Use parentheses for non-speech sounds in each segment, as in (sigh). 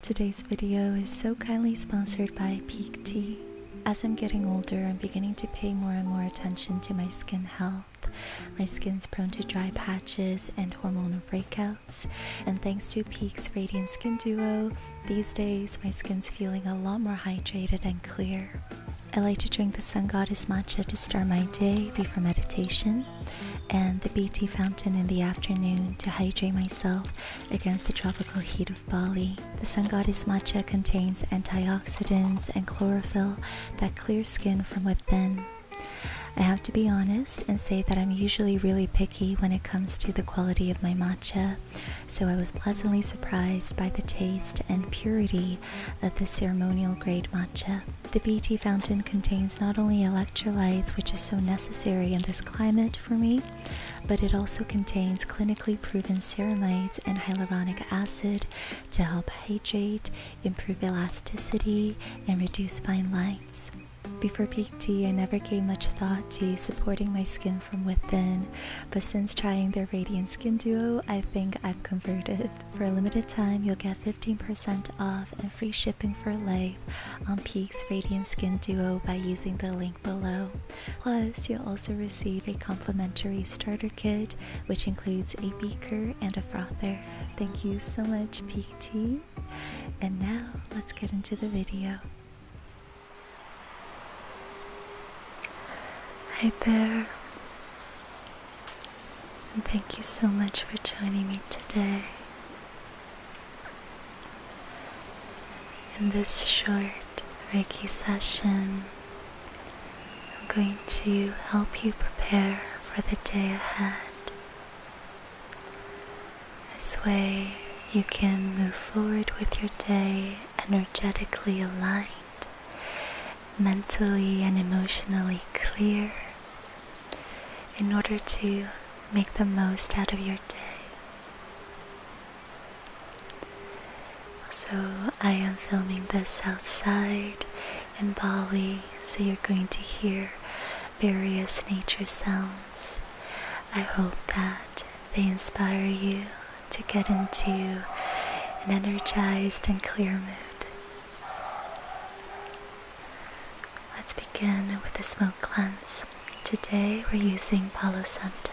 Today's video is so kindly sponsored by Peak Tea. As I'm getting older, I'm beginning to pay more and more attention to my skin health. My skin's prone to dry patches and hormonal breakouts, and thanks to Peak's Radiant Skin Duo, these days my skin's feeling a lot more hydrated and clear. I like to drink the Sun Goddess Matcha to start my day before meditation, and the BT Fountain in the afternoon to hydrate myself against the tropical heat of Bali. The sun goddess matcha contains antioxidants and chlorophyll that clear skin from within. I have to be honest and say that I'm usually really picky when it comes to the quality of my matcha, so I was pleasantly surprised by the taste and purity of the ceremonial grade matcha. The BT fountain contains not only electrolytes, which is so necessary in this climate for me, but it also contains clinically proven ceramides and hyaluronic acid to help hydrate, improve elasticity, and reduce fine lines. Before peak I never gave much thought to supporting my skin from within, but since trying their Radiant Skin Duo, I think I've converted. For a limited time, you'll get 15% off and free shipping for life on um, Peaks Radiant Skin Duo by using the link below. Plus, you'll also receive a complimentary starter kit, which includes a beaker and a frother. Thank you so much, Peak Tea. And now, let's get into the video. Hi there, and thank you so much for joining me today. In this short Reiki session, I'm going to help you prepare for the day ahead. This way, you can move forward with your day energetically aligned, mentally and emotionally clear, in order to make the most out of your day. So, I am filming the south side in Bali, so you're going to hear various nature sounds. I hope that they inspire you to get into an energized and clear mood. Let's begin with the smoke cleanse. Today we're using Palo Santo.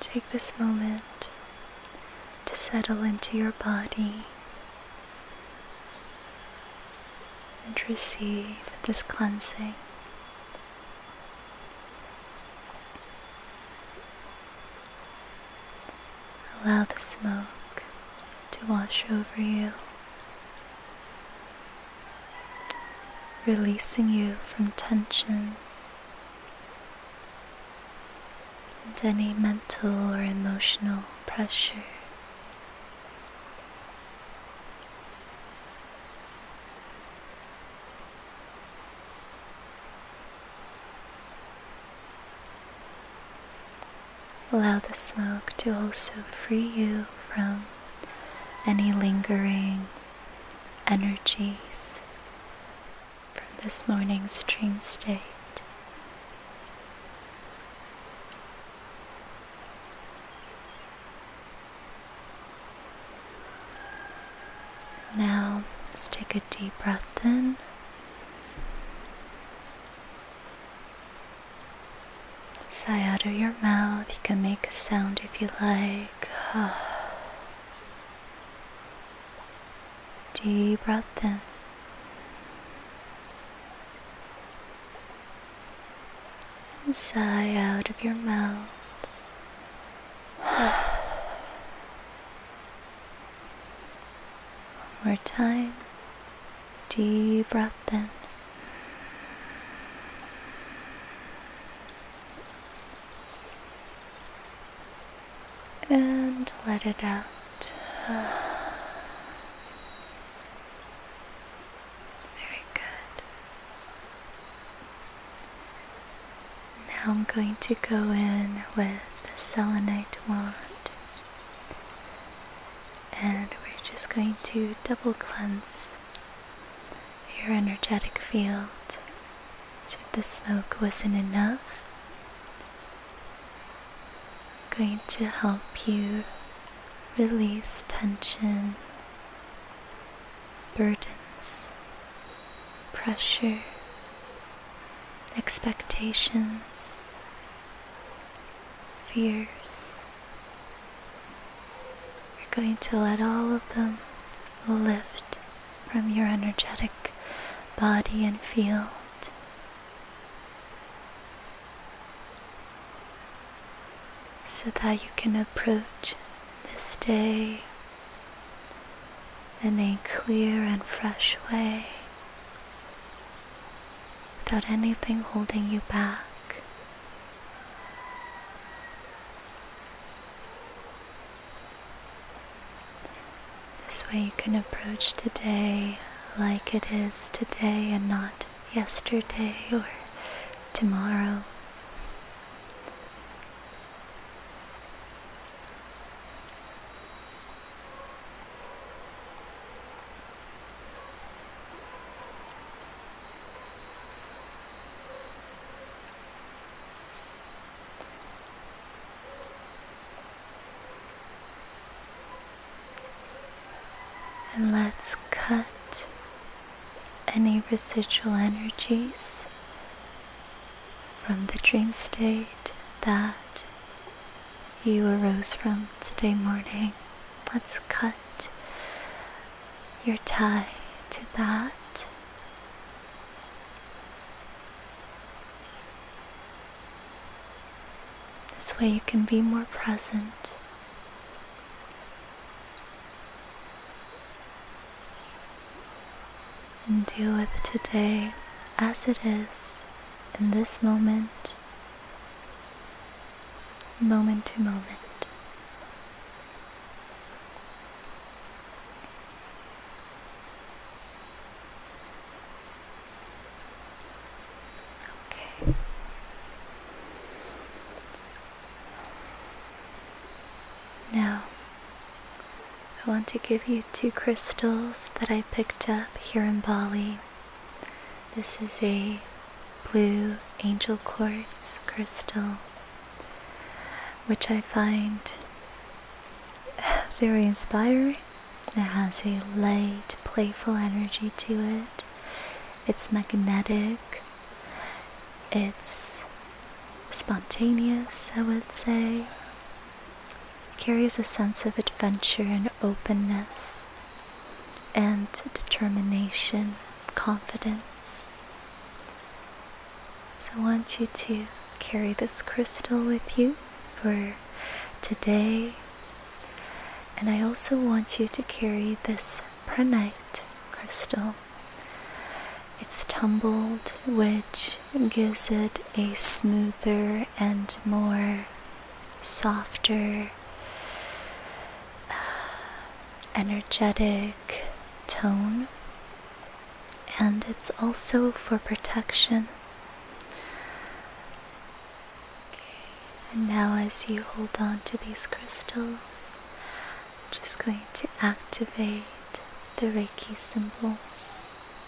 Take this moment to settle into your body and receive this cleansing. Allow the smoke to wash over you, releasing you from tensions and any mental or emotional pressure. Allow the smoke to also free you from any lingering energies from this morning's dream state deep breath in. Sigh out of your mouth. You can make a sound if you like. (sighs) deep breath in. And sigh out of your mouth. (sighs) (sighs) One more time. Deep breath in. And let it out. (sighs) Very good. Now I'm going to go in with the selenite wand. And we're just going to double cleanse your energetic field. So the smoke wasn't enough, going to help you release tension, burdens, pressure, expectations, fears. You're going to let all of them lift from your energetic body and field. So that you can approach this day in a clear and fresh way without anything holding you back. This way you can approach today like it is today and not yesterday or tomorrow. And let's cut any residual energies from the dream state that you arose from today morning. Let's cut your tie to that. This way you can be more present and deal with today as it is in this moment, moment to moment. Okay. Now, I want to give you two crystals that I picked up here in Bali. This is a blue angel quartz crystal, which I find (laughs) very inspiring. It has a light, playful energy to it. It's magnetic. It's spontaneous, I would say carries a sense of adventure and openness and determination, confidence. So I want you to carry this crystal with you for today. And I also want you to carry this pranite crystal. It's tumbled, which gives it a smoother and more softer, uh, energetic tone, and it's also for protection. And now, as you hold on to these crystals, I'm just going to activate the Reiki symbols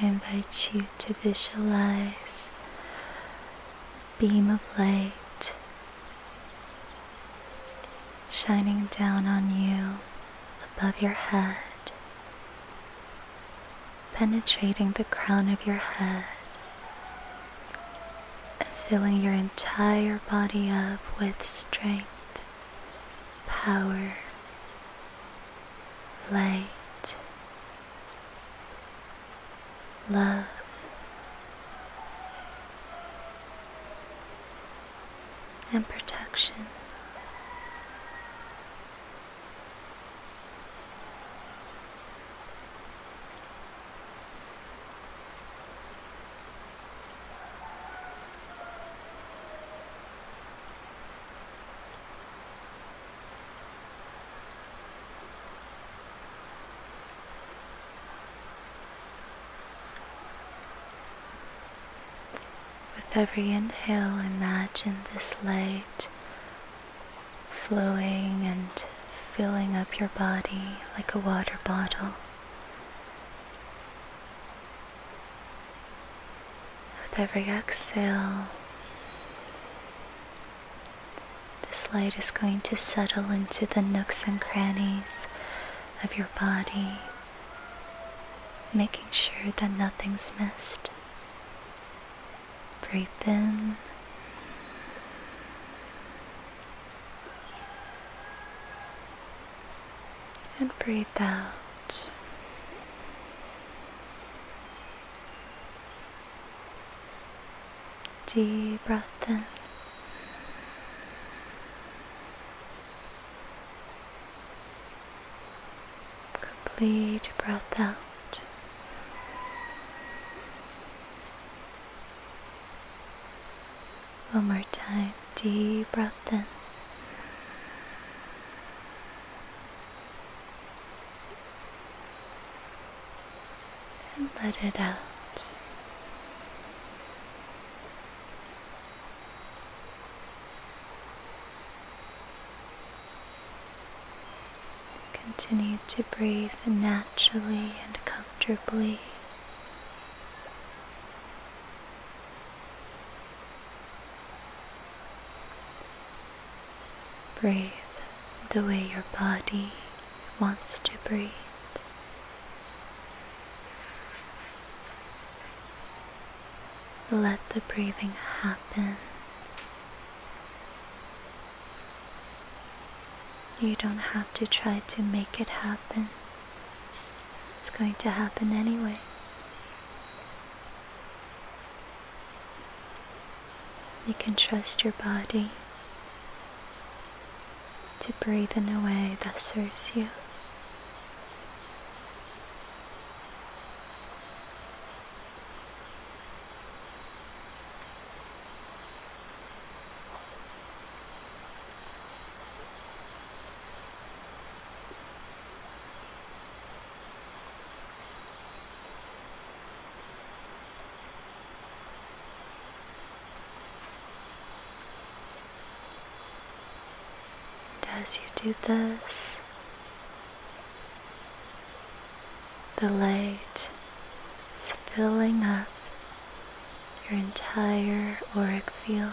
I invite you to visualize a beam of light shining down on you above your head, penetrating the crown of your head and filling your entire body up with strength, power, light, love. And protection. With every inhale, imagine this light flowing and filling up your body like a water bottle. With every exhale, this light is going to settle into the nooks and crannies of your body, making sure that nothing's missed. Breathe in. And breathe out. Deep breath in. Complete breath out. One more time. Deep breath in and let it out. Continue to breathe naturally and comfortably. Breathe the way your body wants to breathe. Let the breathing happen. You don't have to try to make it happen. It's going to happen anyways. You can trust your body to breathe in a way that serves you as you do this, the light is filling up your entire auric field.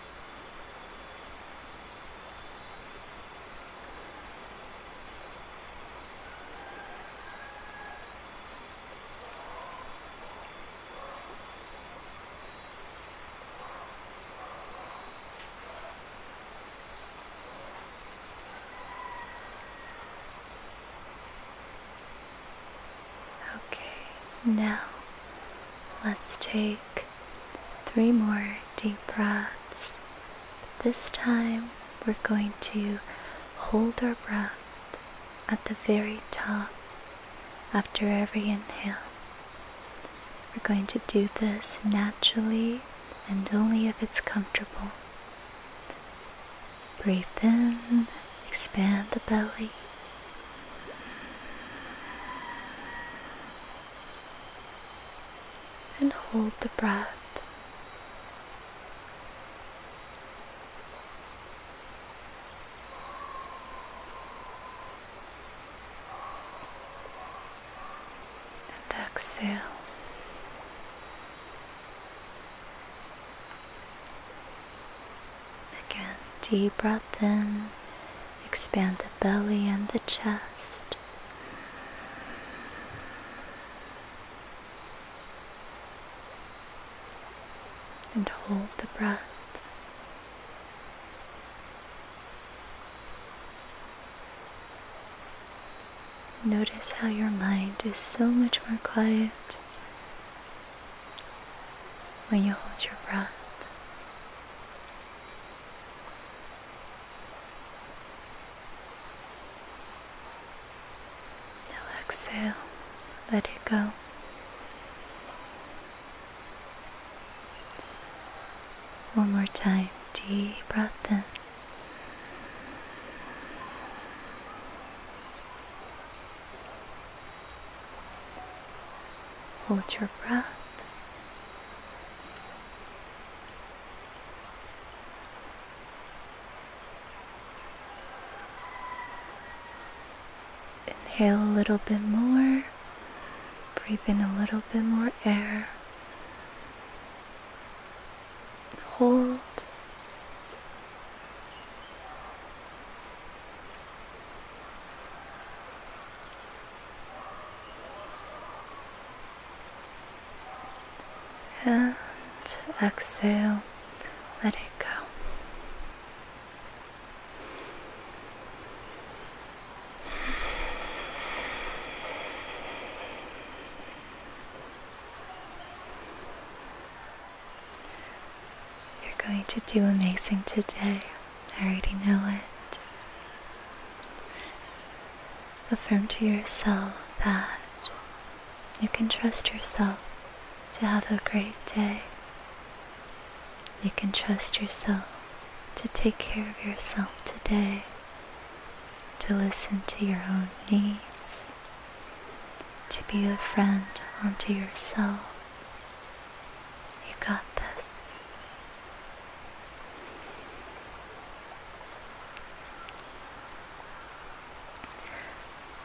Okay, now let's take Three more deep breaths. This time we're going to hold our breath at the very top after every inhale. We're going to do this naturally and only if it's comfortable. Breathe in, expand the belly and hold the breath. And exhale. Again, deep breath in Expand the belly and the chest. And hold the breath. Notice how your mind is so much more quiet when you hold your breath exhale, let it go. One more time, deep breath in. Hold your breath Inhale a little bit more. Breathe in a little bit more air. Hold and exhale, let it go. You're going to do amazing today. I already know it. Affirm to yourself that you can trust yourself to have a great day. You can trust yourself to take care of yourself today, to listen to your own needs, to be a friend unto yourself. You got this.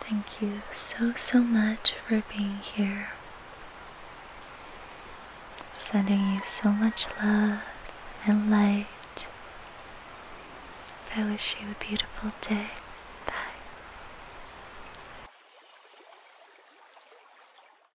Thank you so, so much for being here. Sending you so much love and light. I wish you a beautiful day. Bye.